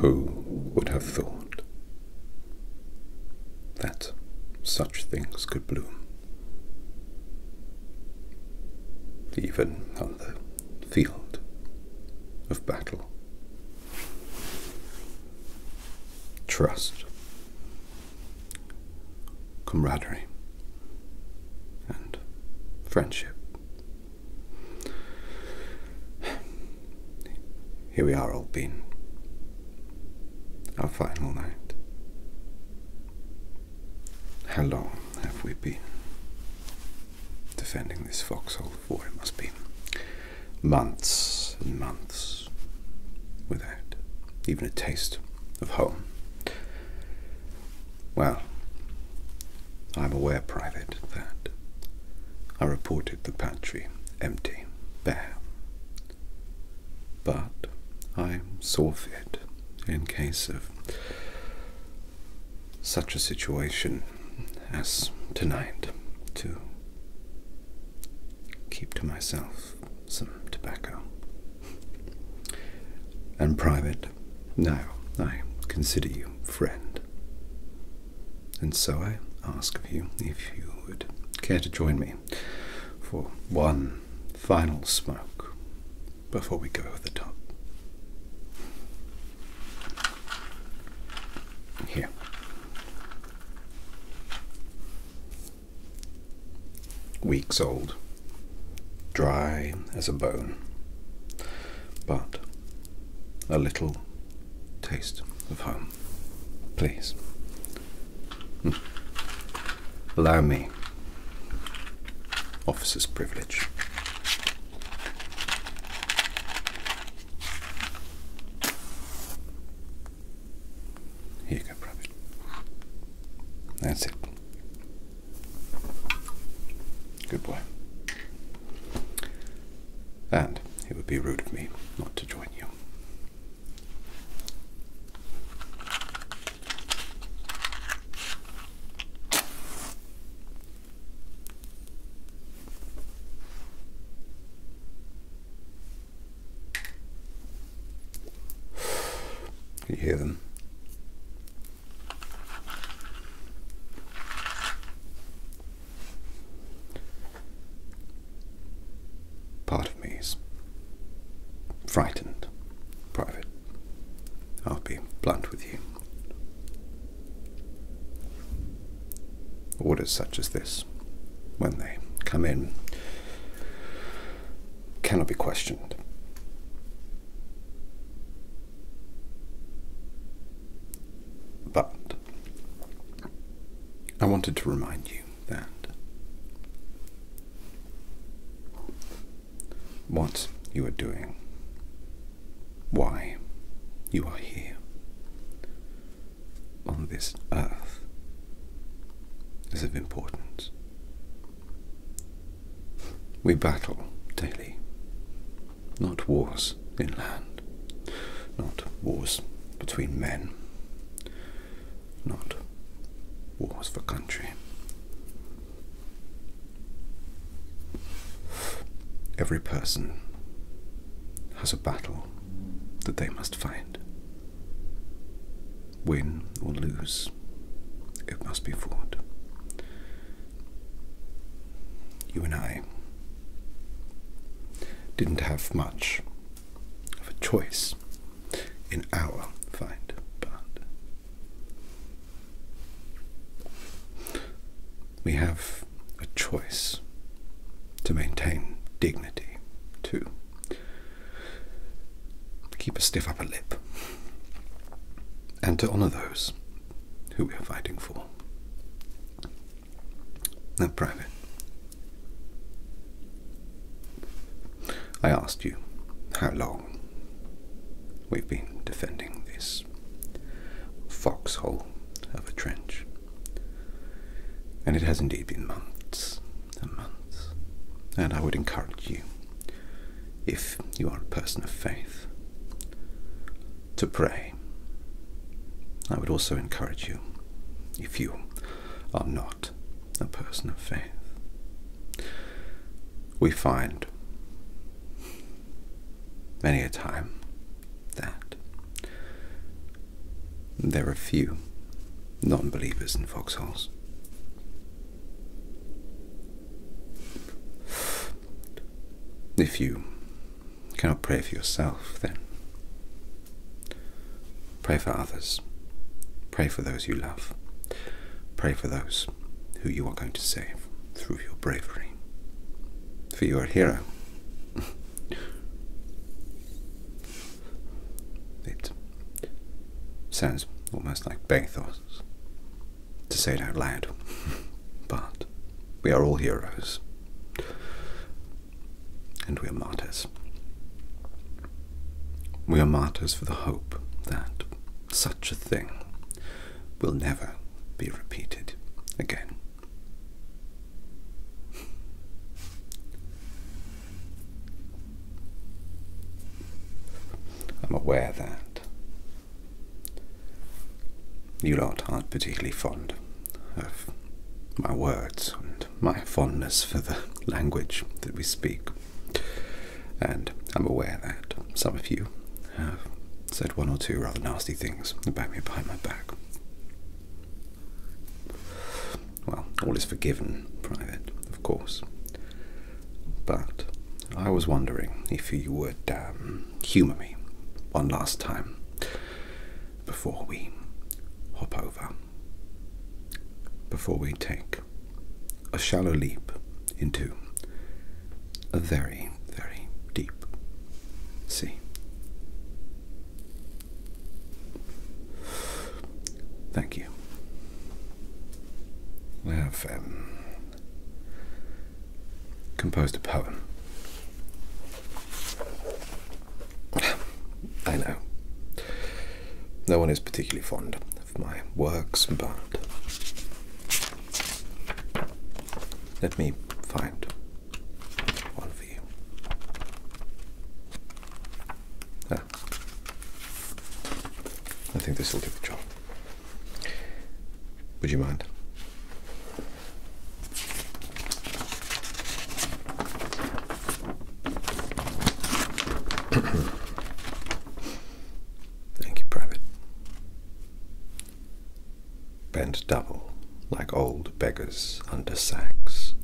Who would have thought that such things could bloom? even on the field of battle. Trust, camaraderie, and friendship. Here we are, old bean. Our final night. How long have we been defending this foxhole for? It must be months and months without even a taste of home. Well, I'm aware, Private, that I reported the pantry empty, bare. But I am saw fit in case of such a situation as tonight to keep to myself some tobacco. And private, now I consider you friend. And so I ask of you if you would care to join me for one final smoke before we go over the top. Here. Weeks old, dry as a bone, but a little taste of home. Please Hmm. Allow me. Officer's privilege. Here go, Private. That's it. Good boy. And it would be rude of me not to join you. Can you hear them? part of me is frightened, private. I'll be blunt with you. Orders such as this, when they come in, cannot be questioned. But I wanted to remind you that. What you are doing, why you are here on this earth is of importance. We battle daily, not wars in land, not wars between men, not wars for country. Every person has a battle that they must fight. Win or lose, it must be fought. You and I didn't have much of a choice in our fight, part. We have a choice to maintain dignity, to keep a stiff upper lip, and to honour those who we are fighting for. Now, Private, I asked you how long we've been defending this foxhole of a trench. And it has indeed been months and months. And I would encourage you, if you are a person of faith, to pray. I would also encourage you, if you are not a person of faith. We find many a time that there are few non believers in foxholes. If you cannot pray for yourself, then Pray for others. Pray for those you love. Pray for those who you are going to save through your bravery. For you are a hero. it sounds almost like bathos to say it out loud, but we are all heroes and we are martyrs. We are martyrs for the hope that such a thing will never be repeated again. I'm aware that you lot aren't particularly fond of my words my fondness for the language that we speak. And I'm aware that some of you have said one or two rather nasty things about me behind my back. Well, all is forgiven, Private, of course. But I was wondering if you would um, humour me one last time before we hop over before we take a shallow leap into a very, very deep sea. Thank you. I have um, composed a poem I know. No one is particularly fond of my works, but let me find one for you. Ah. I think this will do the job. Would you mind? Thank you, Private. Bent double, like old beggars under sacks,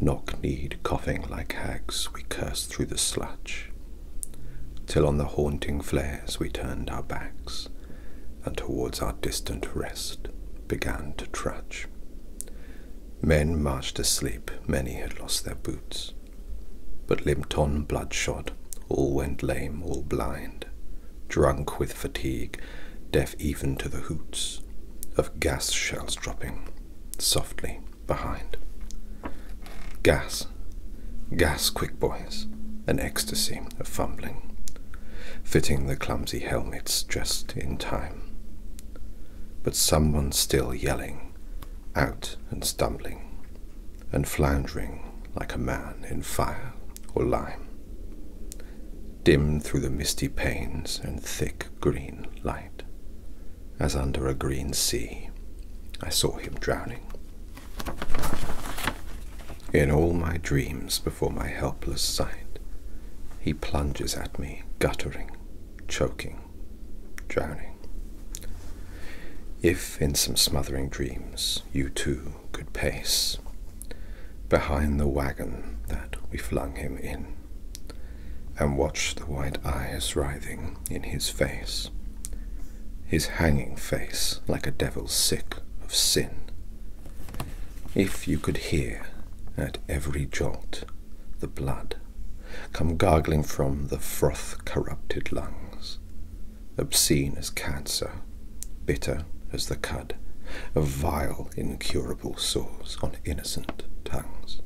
knock kneed, coughing like hags, we cursed through the sludge, till on the haunting flares we turned our backs, and towards our distant rest began to trudge. Men marched asleep, many had lost their boots. But limped on, bloodshot, all went lame, all blind, drunk with fatigue, deaf even to the hoots of gas shells dropping softly behind. Gas, gas, quick boys, an ecstasy of fumbling, fitting the clumsy helmets just in time. But someone still yelling, out and stumbling, and floundering like a man in fire or lime. Dim through the misty panes and thick green light, as under a green sea, I saw him drowning. In all my dreams before my helpless sight. He plunges at me, guttering, choking, drowning. If in some smothering dreams you too could pace behind the wagon that we flung him in, and watch the white eyes writhing in his face, his hanging face like a devil sick of sin if you could hear at every jolt the blood come gargling from the froth corrupted lungs, obscene as cancer, bitter as the cud a vile incurable sores on innocent tongues.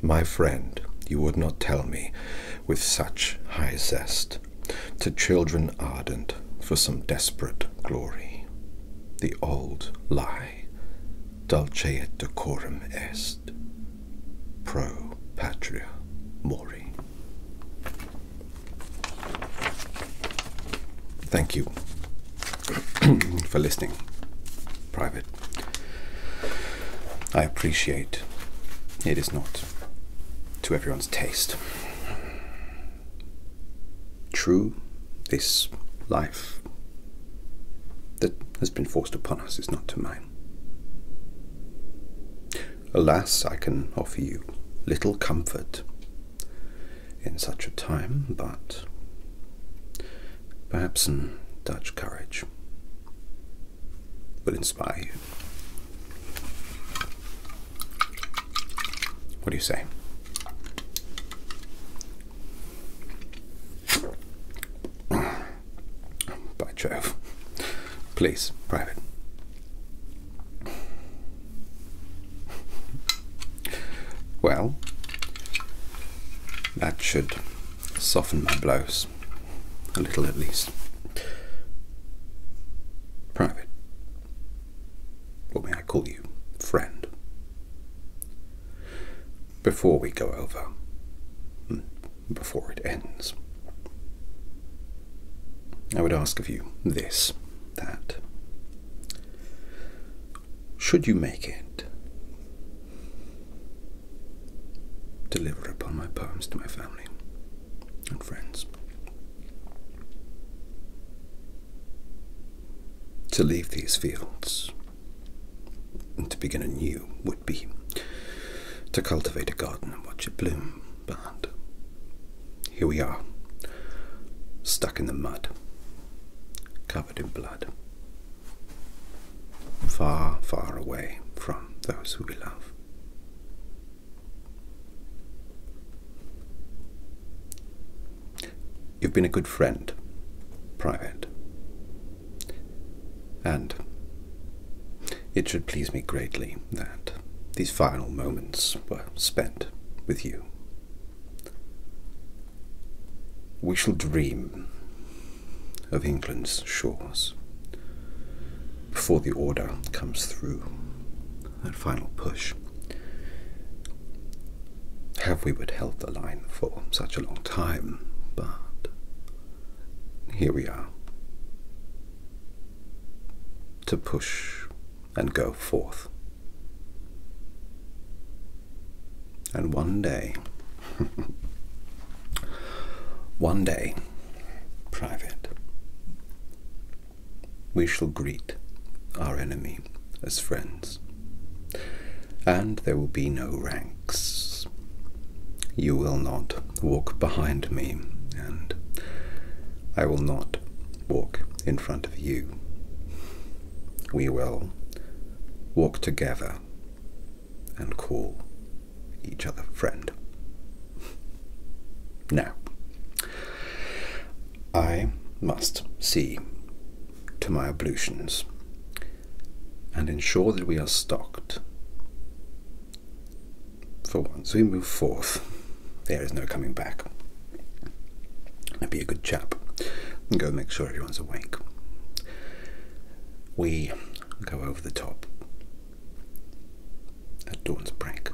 My friend, you would not tell me with such high zest to children ardent for some desperate glory the old lie, dulce et decorum est, pro patria mori. Thank you for listening, Private. I appreciate it is not to everyone's taste true this life that has been forced upon us is not to mine. Alas, I can offer you little comfort in such a time, but perhaps some Dutch courage will inspire you. What do you say? By Jove. Please, private. Well, that should soften my blows. A little at least. Private. What may I call you? Friend. Before we go over, hmm, before it ends, I would ask of you this that should you make it, deliver upon my poems to my family and friends. To leave these fields and to begin anew would be to cultivate a garden and watch it bloom, but here we are, stuck in the mud, covered in blood, far, far away from those who we love. You've been a good friend, Private. And it should please me greatly that these final moments were spent with you. We shall dream of England's shores before the order comes through that final push. Have we but held the line for such a long time, but here we are to push and go forth. And one day, one day, Private, we shall greet our enemy as friends, and there will be no ranks. You will not walk behind me, and I will not walk in front of you. We will walk together and call each other friend. Now, I must see to my ablutions and ensure that we are stocked. For once we move forth, there is no coming back. I'd be a good chap and go make sure everyone's awake. We go over the top at dawn's break.